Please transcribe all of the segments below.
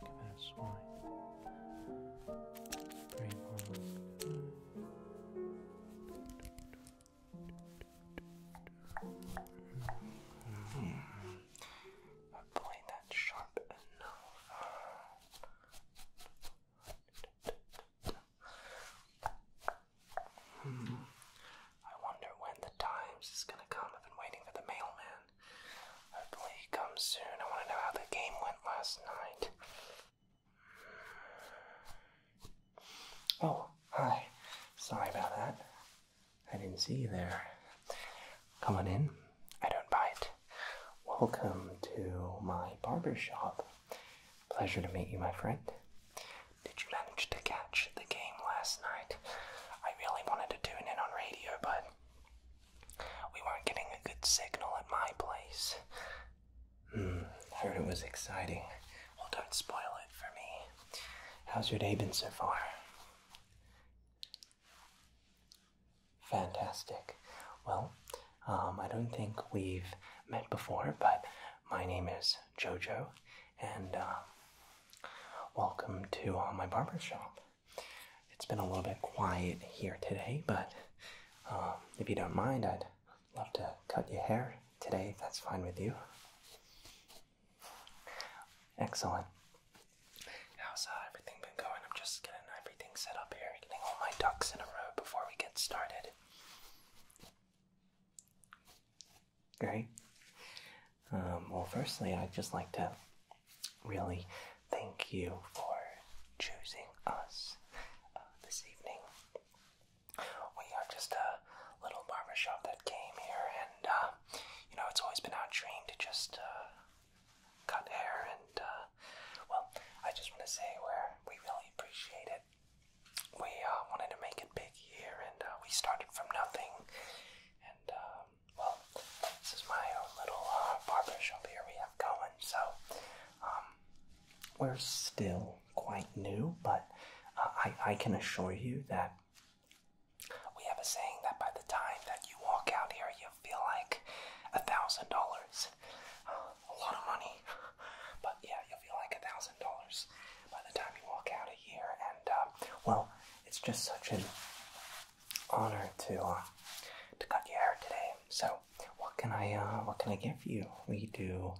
That's why. Very long. Hopefully that's sharp enough. Hmm. I wonder when the Times is gonna come. I've been waiting for the mailman. Hopefully he comes soon. I wanna know how the game went last night. Oh, hi. Sorry about that. I didn't see you there. Come on in. I don't bite. Welcome to my barber shop. Pleasure to meet you, my friend. Did you manage to catch the game last night? I really wanted to tune in on radio, but we weren't getting a good signal at my place. Hmm, heard it was exciting. Well, don't spoil it for me. How's your day been so far? Fantastic. Well, um, I don't think we've met before, but my name is Jojo, and uh, welcome to uh, my barber shop. It's been a little bit quiet here today, but um, if you don't mind, I'd love to cut your hair today that's fine with you. Excellent. How's uh, everything been going? I'm just getting everything set up here, getting all my ducks in a row before we get started. Great. Um, well, firstly, I'd just like to really thank you for choosing us uh, this evening. We are just a little barber shop that came here, and uh, you know, it's always been our dream to just uh, cut hair, and well, I just want to say where we really appreciate it we uh, wanted to make it big here, and uh, we started from nothing. And um, well, this is my own little uh, barber shop here we have going. So um, we're still quite new, but I I can assure you that we have a saying that by the time that you walk out here, you feel like a thousand dollars, a lot of money. But yeah, you'll feel like a thousand dollars by the time you walk out of here. And um, well, it's just such an honor to uh, to cut your hair today. So what can I uh, what can I give you? We do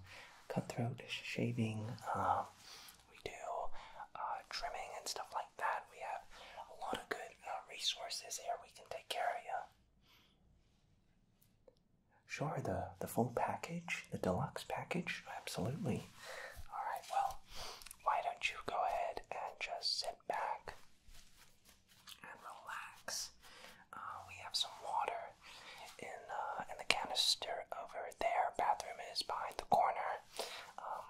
cutthroat shaving. Um, we do uh, trimming and stuff like that. We have a lot of good uh, resources here. We can take care of you. Sure, the, the full package, the deluxe package, absolutely. All right, well, why don't you go ahead and just sit back and relax? Uh, we have some water in, uh, in the canister over there. Bathroom is behind the corner. Um,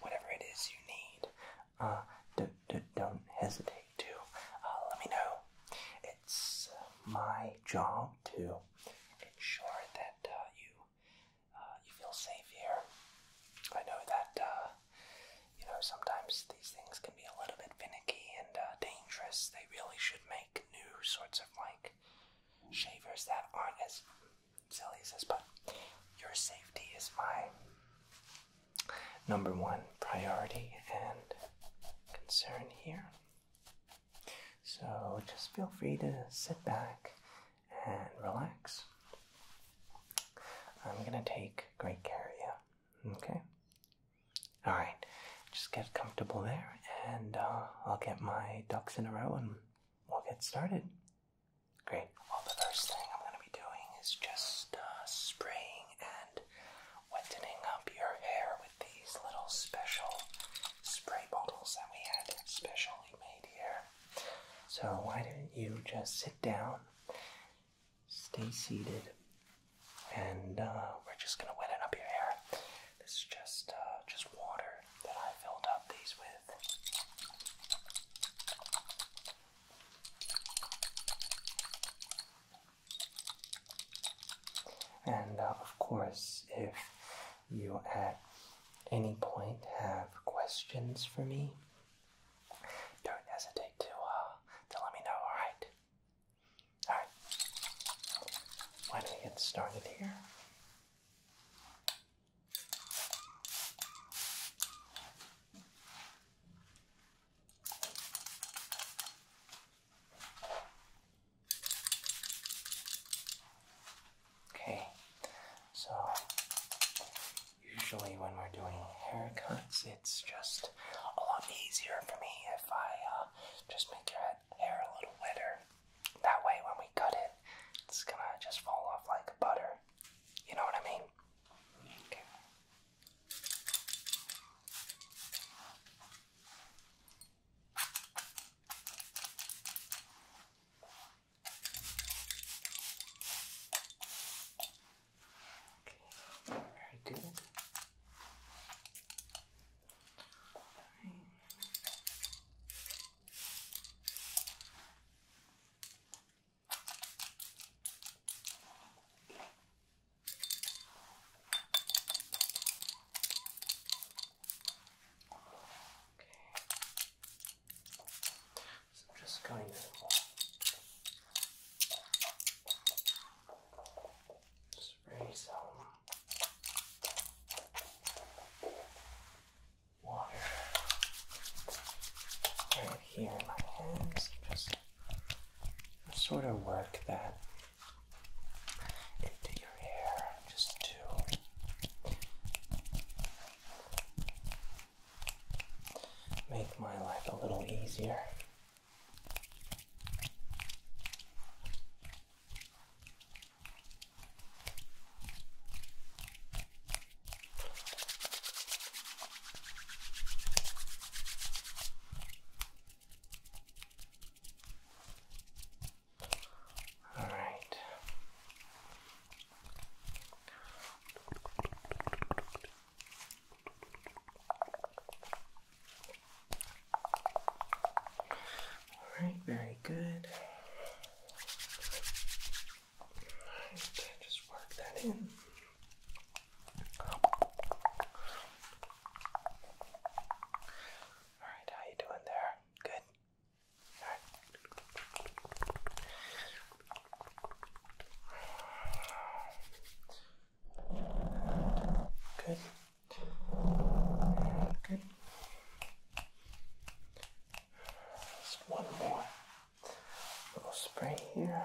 whatever it is you need, uh, d don't hesitate to uh, let me know it's my job to ensure that uh, you uh, you feel safe here. I know that uh, you know sometimes these things can be a little bit finicky and dangerous. They really should make new sorts of like shavers that aren't as silly as this. But your safety is my number one priority and concern here. So just feel free to sit back and relax. I'm going to take great care of you. Okay? Alright, just get comfortable there and uh, I'll get my ducks in a row and we'll get started. Great. Well, the first thing I'm going to be doing is just uh, spraying and wetting up your hair with these little special spray bottles that we had specially made here. So, why don't you just sit down, stay seated, and uh, we're just gonna wet up your hair. This is just, uh, just water that I filled up these with. And uh, of course, if you at any point have questions for me, don't hesitate to uh, to let me know. All right. All right. Why don't we get started here? Okay, so usually when we're doing haircuts, it's just a lot easier for me if I uh, just make your hair a little wetter. That way, when we cut it, it's gonna just fall off like butter. You know what I mean? Okay, very good. Right. So I'm just kind of spray some water right here in my hands. Just sort of work that into your hair just to make my life a little easier. All right. All right, very good. just work that in. All right, how you doing there? Good. All right. Good. Good. Just one more little spray here.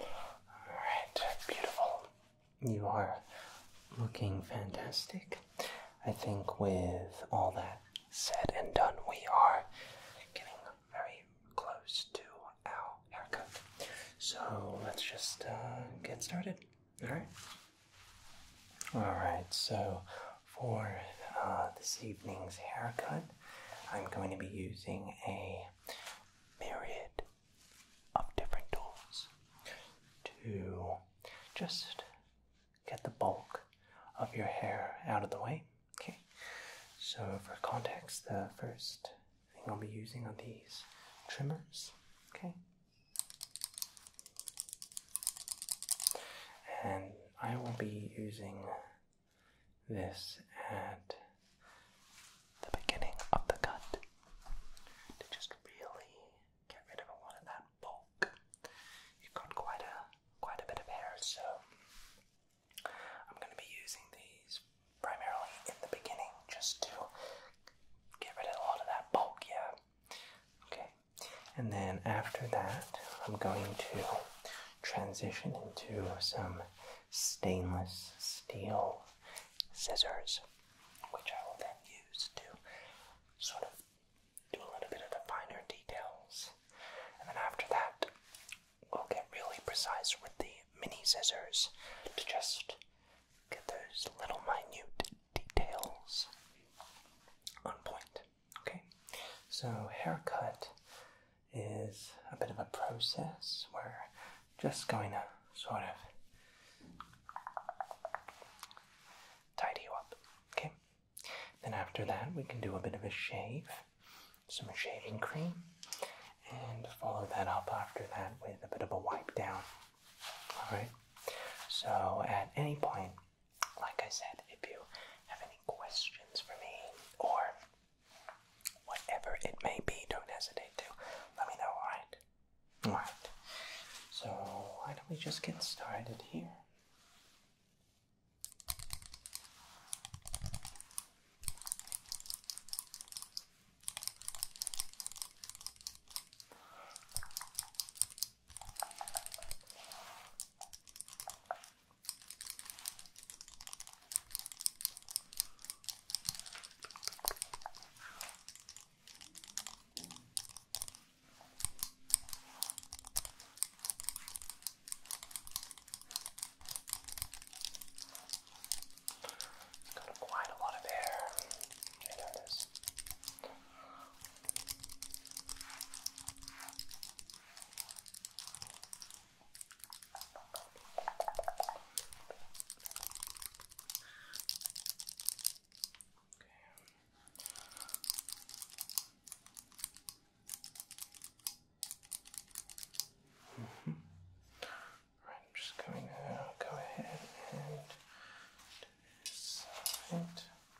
Alright, beautiful. You are looking fantastic. I think with all that said and done, we are getting very close to our haircut. So let's just uh, get started. Alright? Alright, so for uh, this evening's haircut, I'm going to be using a myriad of different tools to just get the bulk of your hair out of the way. Okay, so for context, the first thing I'll be using are these trimmers. Okay. And I will be using this at the beginning of the cut to just really get rid of a lot of that bulk. You've got quite a quite a bit of hair, so I'm going to be using these primarily in the beginning just to get rid of a lot of that bulk. Yeah. Okay. And then after that, I'm going to transition into some stainless steel scissors, which I will then use to sort of do a little bit of the finer details. And then after that, we'll get really precise with the mini scissors to just get those little minute details on point. Okay, so haircut is a bit of a process. We're just going to sort of tidy you up. Okay, then after that, we can do a bit of a shave, some shaving cream, and follow that up after that with a bit of a wipe down. All right, so at any point like I said, if you have any questions for me or whatever it may be, don't hesitate to let me know, alright? Alright. So, why don't we just get started here? Got quite a lot of air. I notice. Mm -hmm. Right, I'm just going to go ahead and do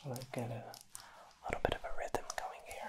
so I get a little bit of a rhythm going here.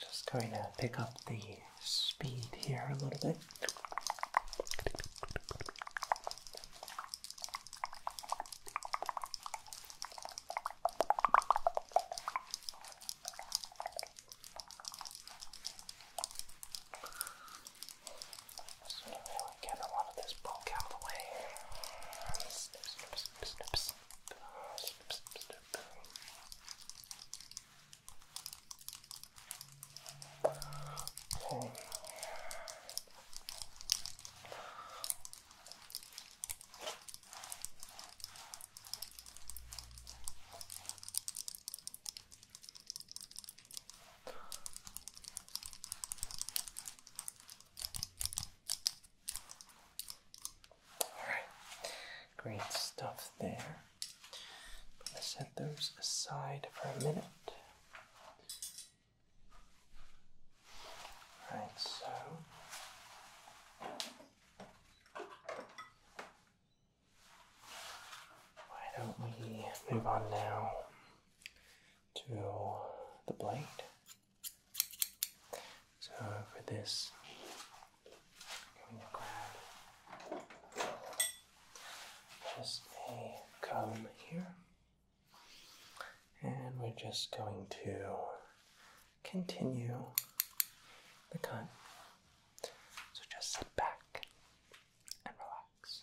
Just going to pick up the speed here a little bit. So if I get a lot of this bulk out of the way. Snip, snip, snip, snip, snip. Uh, snip, snip, snip. Okay. Okay. Alright, great stuff there. i set those aside for a minute. Alright, so. Why don't we move on now to the blade? So for this, I'm going to grab just a comb here, and we're just going to continue the cut. So just sit back, and relax.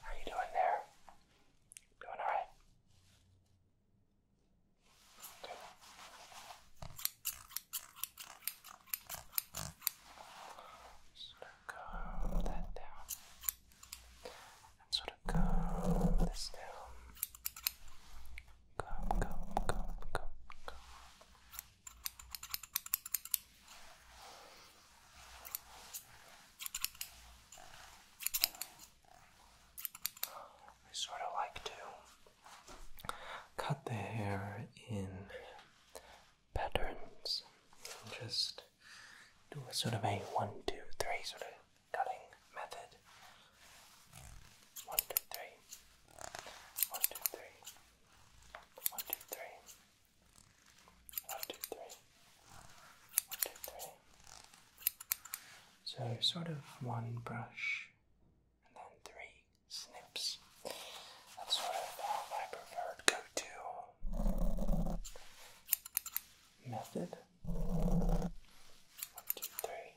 How are you doing there? Doing all right? Sort of curve that down. sort of curve this down. Curve, curve, curve, curve, curve. I sort of like to cut the hair in patterns and just do a sort of a one, two, three sort of cutting method. One, two, three. One, two, three. One, two, three. One, two, three. One, two, three. So, sort of one brush and then three snips. That's sort of uh, my preferred go to method. One, two, three.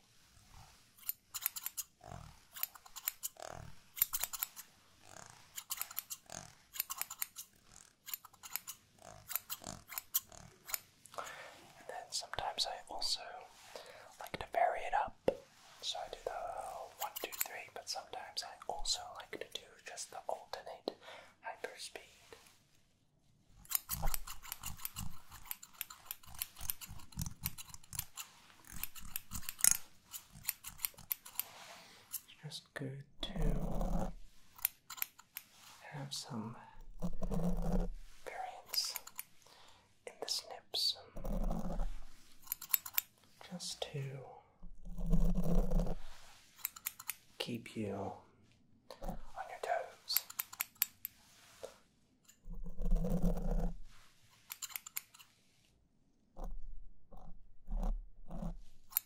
And then sometimes I also like to vary it up. So I do the one, two, three, but sometimes I also like to do just the alternate hyper speed. It's just good to have some variants in the snips just to keep you on your toes.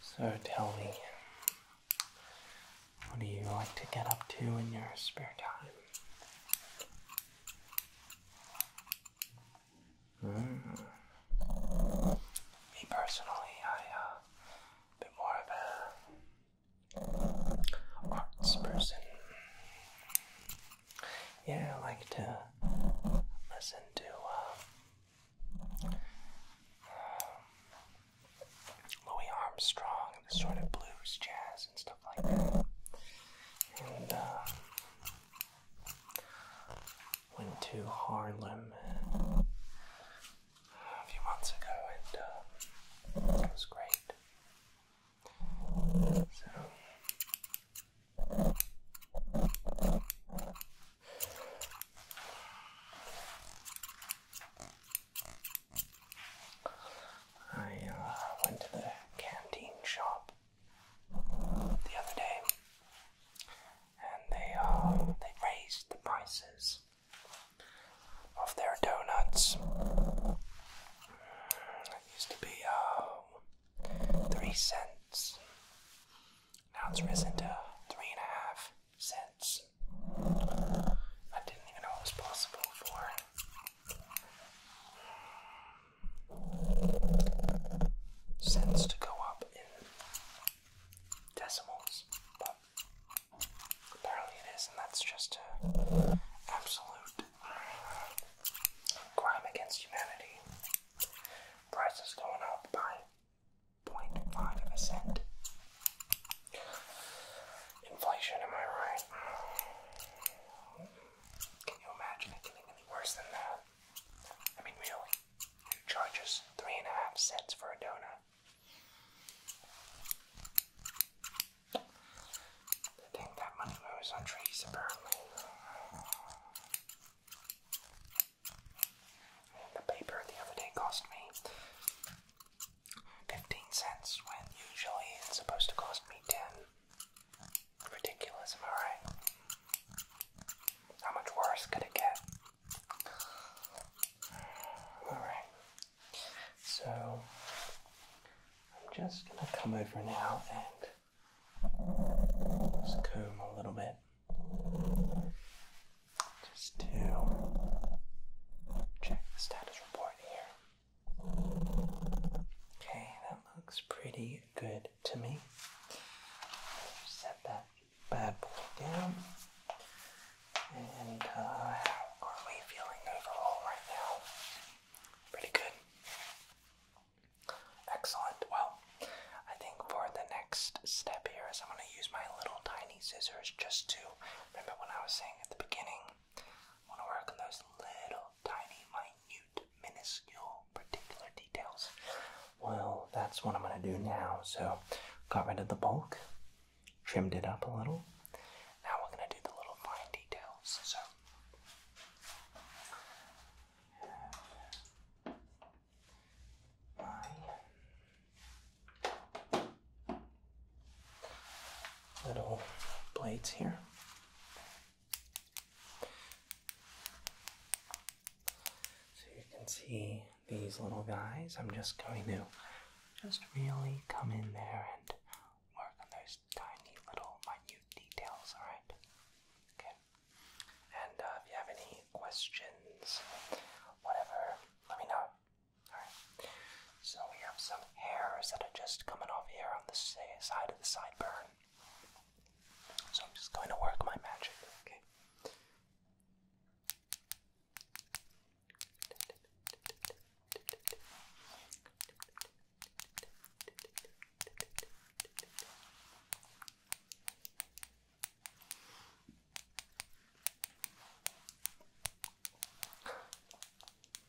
So tell me, what do you like to get up to in your spare time? Mm. Me personally, I uh, more of a arts person. Yeah, I like to listen to uh, um, Louis Armstrong and the sort of blues jazz and stuff like that. And uh, went to Harlem a few months ago, and uh, it was great. I uh, went to the canteen shop the other day, and they um, they raised the prices of their donuts. It used to be um, three cents. Now it's risen to three and a half cents. I didn't even know it was possible for cents to go up in decimals, but apparently it is, and that's just absolute crime against humanity. Prices going up by 0.5 of Inflation, am I right? Can you imagine it getting any worse than that? I mean, really, you charge three and a half cents for a donut. I think that money moves on trees, apparently. The paper the other day cost me 15 cents when usually it's supposed to cost me 10. Ridiculous, am I right? How much worse could it get? Alright, so I'm just gonna come over now and just comb a little bit. Just to check the status report here. Okay, that looks pretty good to me. Set that bad boy down. And uh, how are we feeling overall right now? Pretty good. Excellent. Well, I think for the next step here is I'm going to use my little tiny scissors just to remember what I was saying at the beginning want to work on those little tiny, minute, minuscule, particular details. Well, that's what I'm going to do now. So, got rid of the bulk, trimmed it up a little. Now we're going to do the little fine details. So, my little blades here. So you can see these little guys. I'm just going to just really come in there and work on those tiny little minute details, alright? Okay. And uh, if you have any questions, whatever, let me know. Alright. So we have some hairs that are just coming off here on the side of the sideburn. So I'm just going to work my magic, okay?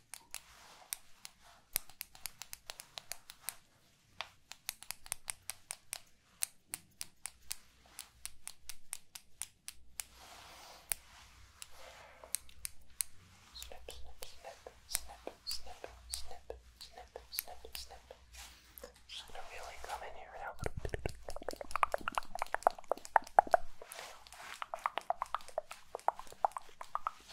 Snip, snip, snip, snip, snip, snip, snip, snip, snip. I'm just gonna really come in here now.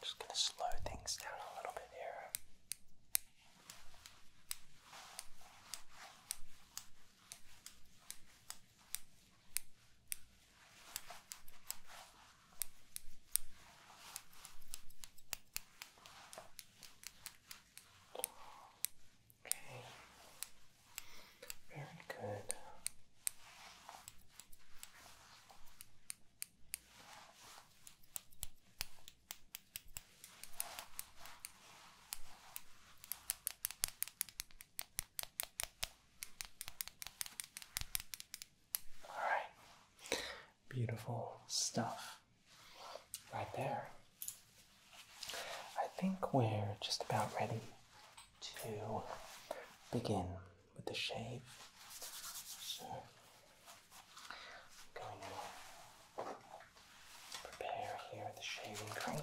just gonna slow things down a little bit here. Okay. Very good. All right, beautiful stuff right there. I think we're just about ready to begin with the shave. So going to prepare here the shaving cream.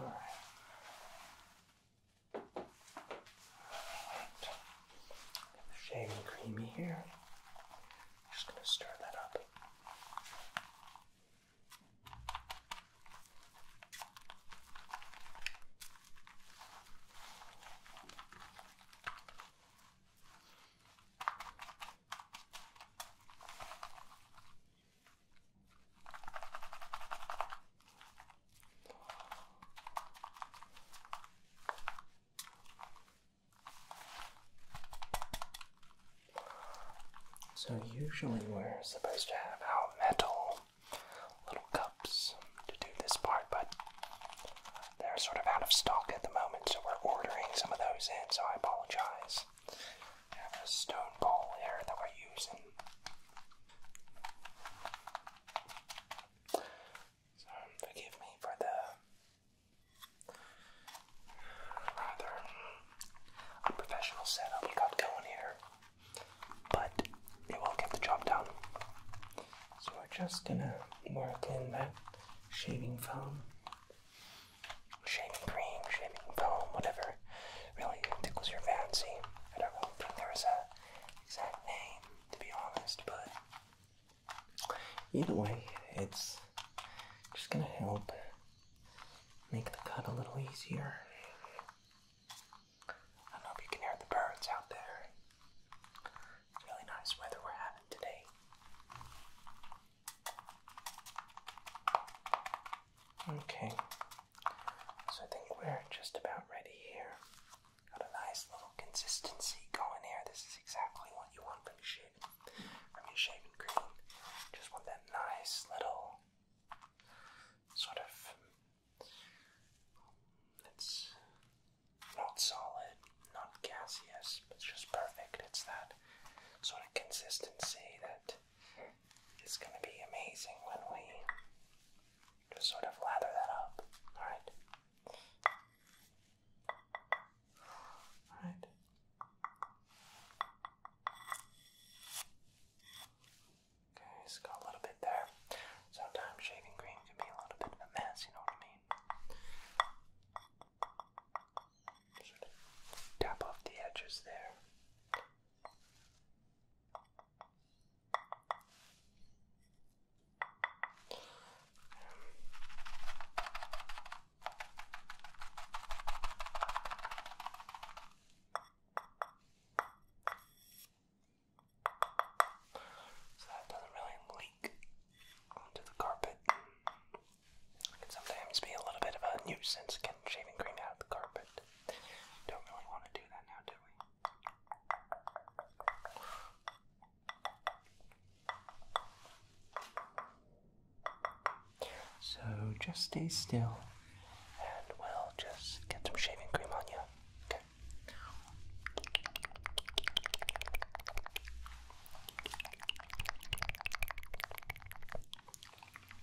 All right. Get the here. Just gonna stir that up. So, usually, we're supposed to have our metal little cups to do this part, but they're sort of out of stock at the moment, so we're ordering some of those in, so I apologize. have a stone bowl here that we're using. So forgive me for the rather unprofessional setup we got going here, but it will get the job done. So we're just gonna work in that shaving foam, shaving cream, shaving foam, whatever really tickles your fancy. I don't know if there is was an exact name, to be honest, but either way, it's just gonna help make the cut a little easier. I don't know if you can hear the birds out there. really nice weather we're having today. Okay, so I think we're just about ready here. Got a nice little consistency going here. This is exactly what you want from your shaving, from your shaving cream. Just want that nice little sort of it's not solid, not gaseous, it's just perfect. It's that sort of consistency that it's going to be amazing when we just sort of lather that up. Alright? Alright. Okay, it got a little bit there. Sometimes shaving cream can be a little bit of a mess, you know what I mean? Sort of tap off the edges there. So that doesn't really leak onto the carpet. It can sometimes be a little bit of a nuisance getting shaving cream out the carpet. Don't really want to do that now, do we? So just stay still and we'll just get some shaving cream on you. Okay.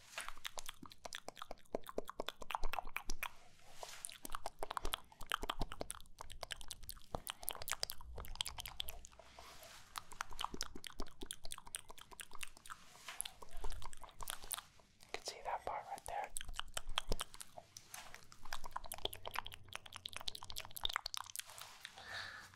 You can see that part right there.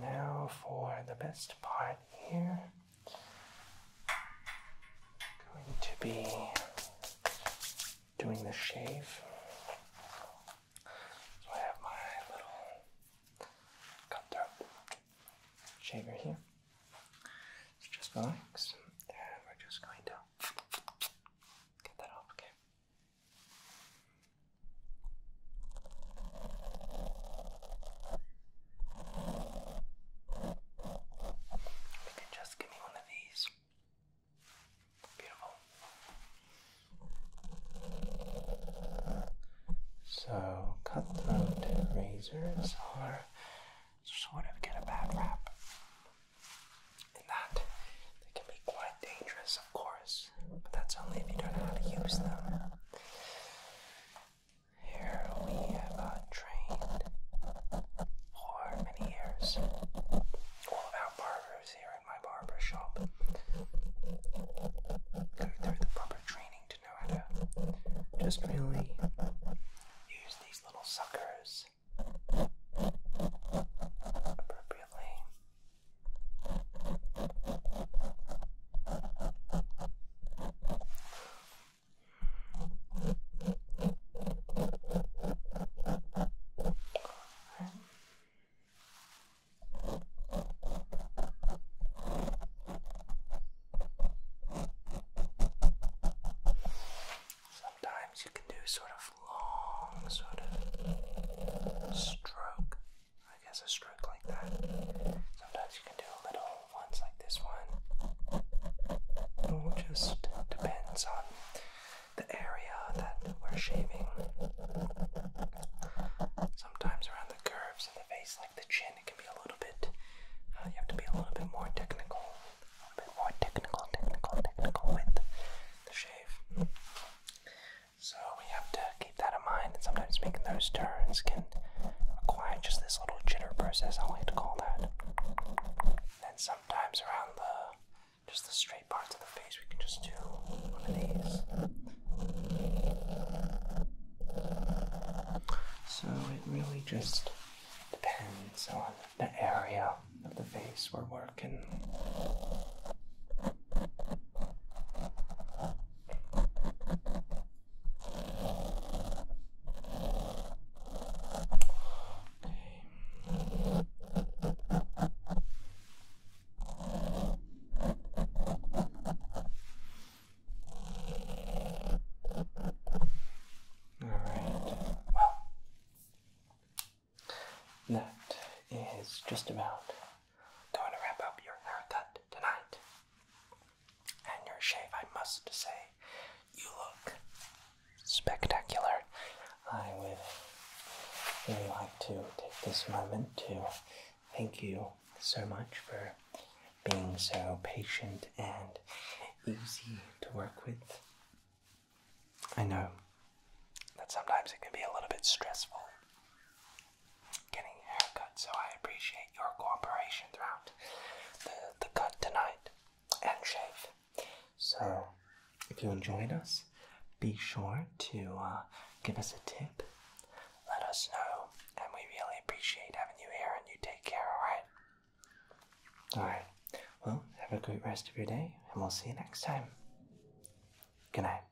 now for the best part here. Going to be doing the shave. So I have my little cutthroat shaver here. So just relax, and we're just going to get that off, okay? just give me one of these. Beautiful. So, cutthroat razors are sort of get a bad rap in that they can be quite dangerous of course, but that's only if you don't know how to use them. Here we have trained for many years all of our barbers here in my barber shop go through the proper training to know how to just really use these little suckers appropriately. Sometimes you can do sort of long, sort of stroke I guess a stroke like that. Sometimes you can do little ones like this one. It all just depends on the area that we're shaving. Sometimes around the curves of the face, like the chin, it can be a little bit, uh, you have to be a little bit more technical. A little bit more technical, technical, technical with the shave. So we have to keep that in mind. And sometimes making those turns can require just this little jitter process, I like to call that. And sometimes around the just the straight parts of the face, we can just do one of these. So it really just depends on the area of the face we're working. Alright, well, that is just about Going to wrap up your haircut tonight and your shave. I must say, you look spectacular. I would really like to take this moment to thank you so much for being so patient and easy to work with. I know that sometimes it can be a little bit stressful getting a haircut, so I appreciate your cooperation throughout the, the cut tonight and shave. So, uh, if you enjoyed us, be sure to uh, give us a tip. Let us know, and we really appreciate having you here. And you take care, alright? Alright. Well, have a great rest of your day, and we'll see you next time. Good night.